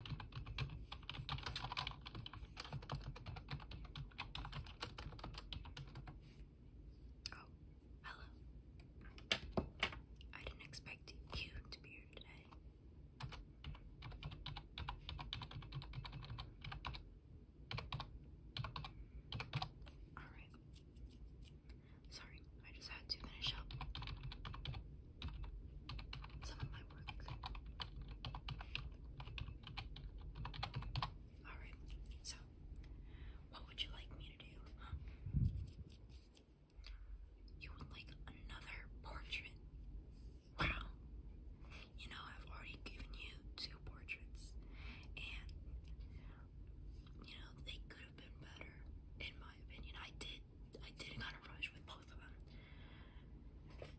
Oh, hello. I didn't expect you to be here today. Alright. Sorry, I just had to finish up some of my work. Alright, so what would you like me to do? You would like another portrait? Wow. You know, I've already given you two portraits, and you know, they could have been better, in my opinion. I did I did not kind a rush with both of them,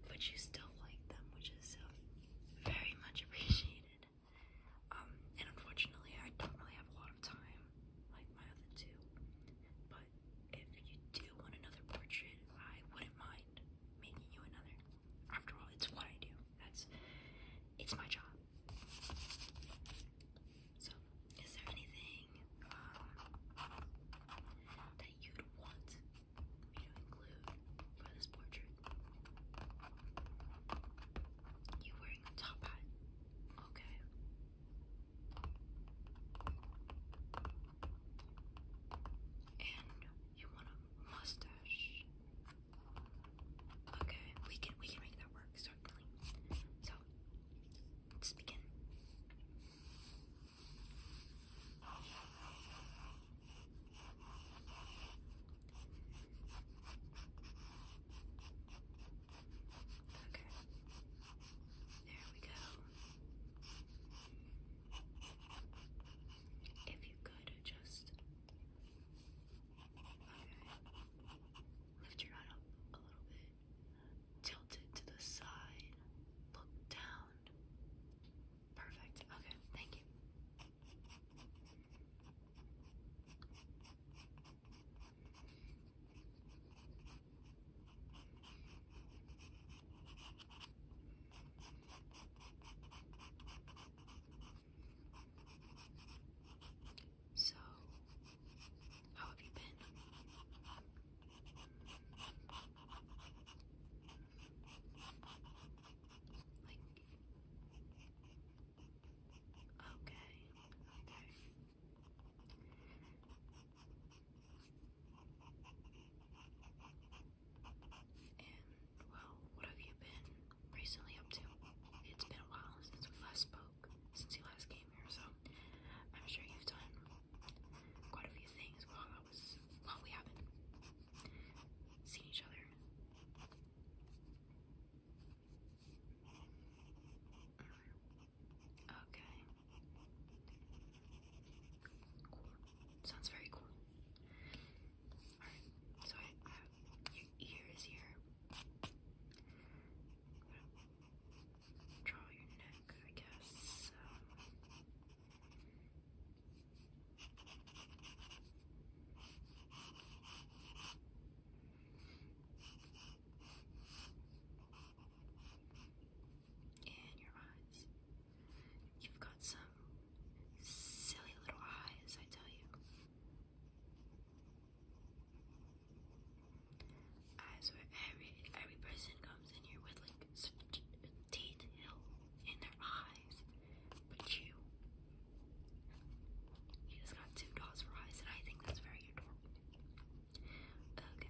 but you still like them, which is uh, very much appreciated. Um, and unfortunately, I don't really have a lot of time, like my other two. But if you do want another portrait, I wouldn't mind making you another. After all, it's what I do. That's it's my job. So is there anything um, that you'd want me to include for this portrait? You wearing a top hat? Okay. And you want a mustache? Okay, we can we can make that work certainly. So let's begin. Okay. There we go. If you could just lift your head up a little bit. Tilted to the side, look down. Perfect. Okay, thank you. So, how have you been? Like, okay, okay. And, well, what have you been recently up to? It's been a while since we last spoke, since you last came here, so I'm sure you've done quite a few things while I was while we haven't seen each other. Okay. Cool. Sounds very cool. Alright, so your ear here draw your neck, I guess. and your eyes. You've got some silly little eyes, I tell you. I every every person comes in here with like such detail in their eyes, but you, you just got two dots for eyes, and I think that's very adorable. Okay,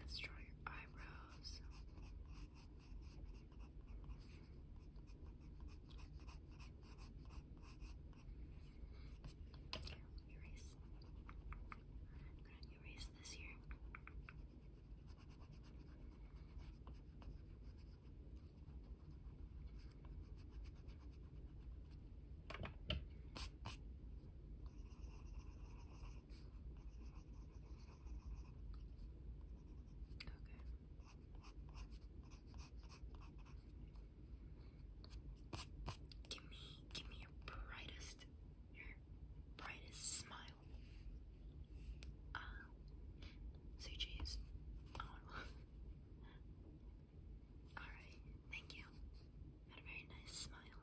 let's draw your eyebrows. Erase. I'm gonna erase this here. Okay. Give me, give me your brightest, your brightest smile. Uh, say cheese. Alright, thank you. Had a very nice smile.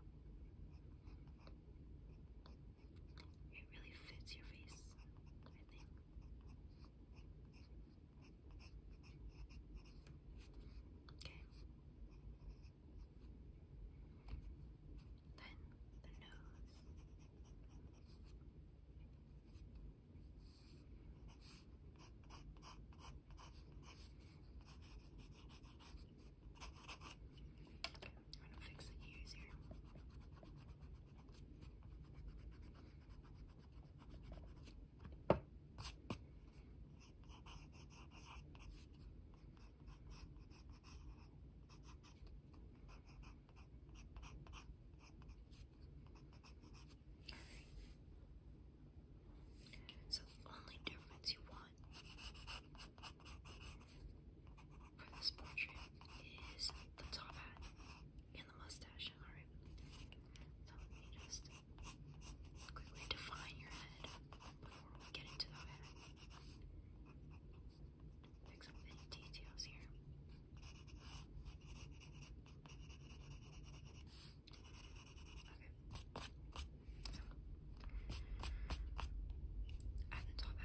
It really fits your face, I think. Okay. Then the nose. Okay, I'm gonna fix the ears so the only difference you want for this portrait is the top hat and the mustache. Alright. So let me just quickly define your head before we get into the head. Fix up any details here. Okay. So at the top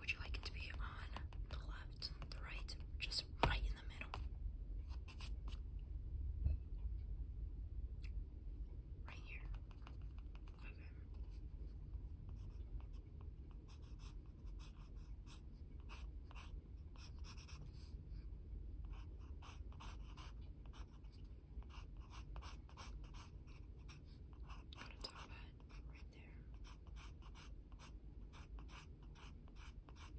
would you like it to be on the left, the right, just right in the Right here. Okay. Got top hat right there.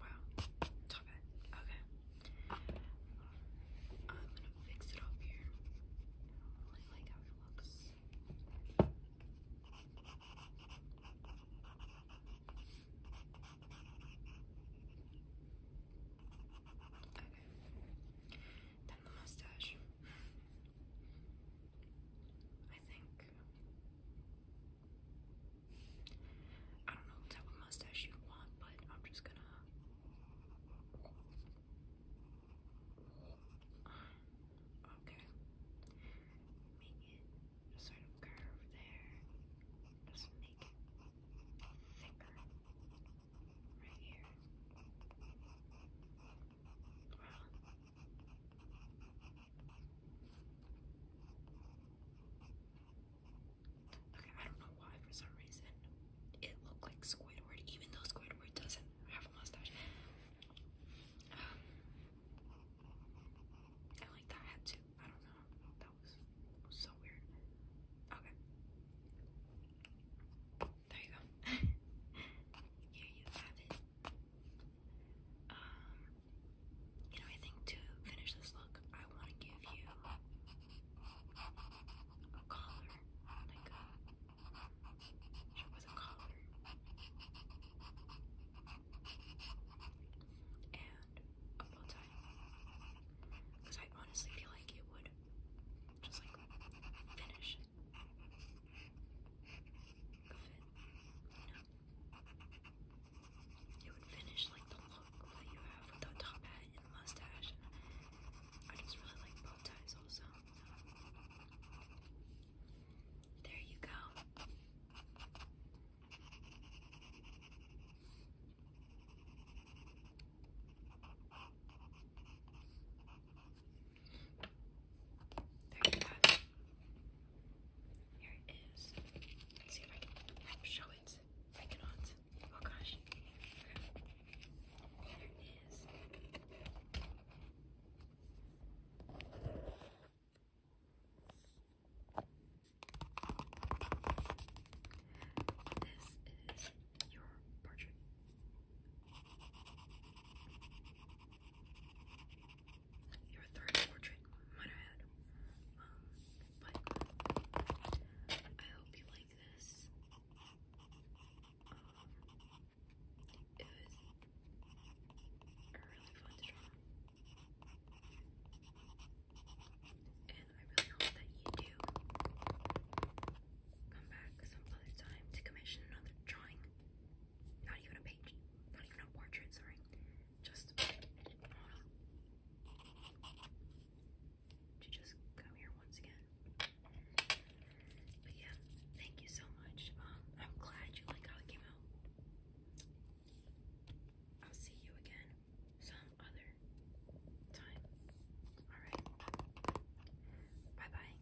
Wow, top Okay. I'm gonna fix it up here. I really like how it looks. Then the mustache. I think I don't know what type of mustache you want, but I'm just gonna. Okay. Make it a sort of curve there. Just make it thicker. Right here. I don't know why for some reason it looked like Squidward, even though Squidward doesn't have a mustache. I like that hat too. I don't know. That was so weird. Okay. There you go. Here you have it. Um, you know, I think to finish this look, I want to give you a collar, like a, it was a collar, and a bow tie, because I honestly feel like it would just like finish it would finish like the look that you have with the top hat and the mustache. I just really like bow ties also. There you go. There you Here it see if I can show it. I cannot. Oh gosh. There it is. This is your portrait your third portrait might I um, but I hope you like this. Um, it was really fun to And I really hope that you do come back some other time to commission another drawing. Not even a page. Not even a portrait, sorry. Just to just come here once again. But yeah, thank you so much. Um, I'm glad you like how it came out. I'll see you again some other time. Alright. Bye bye.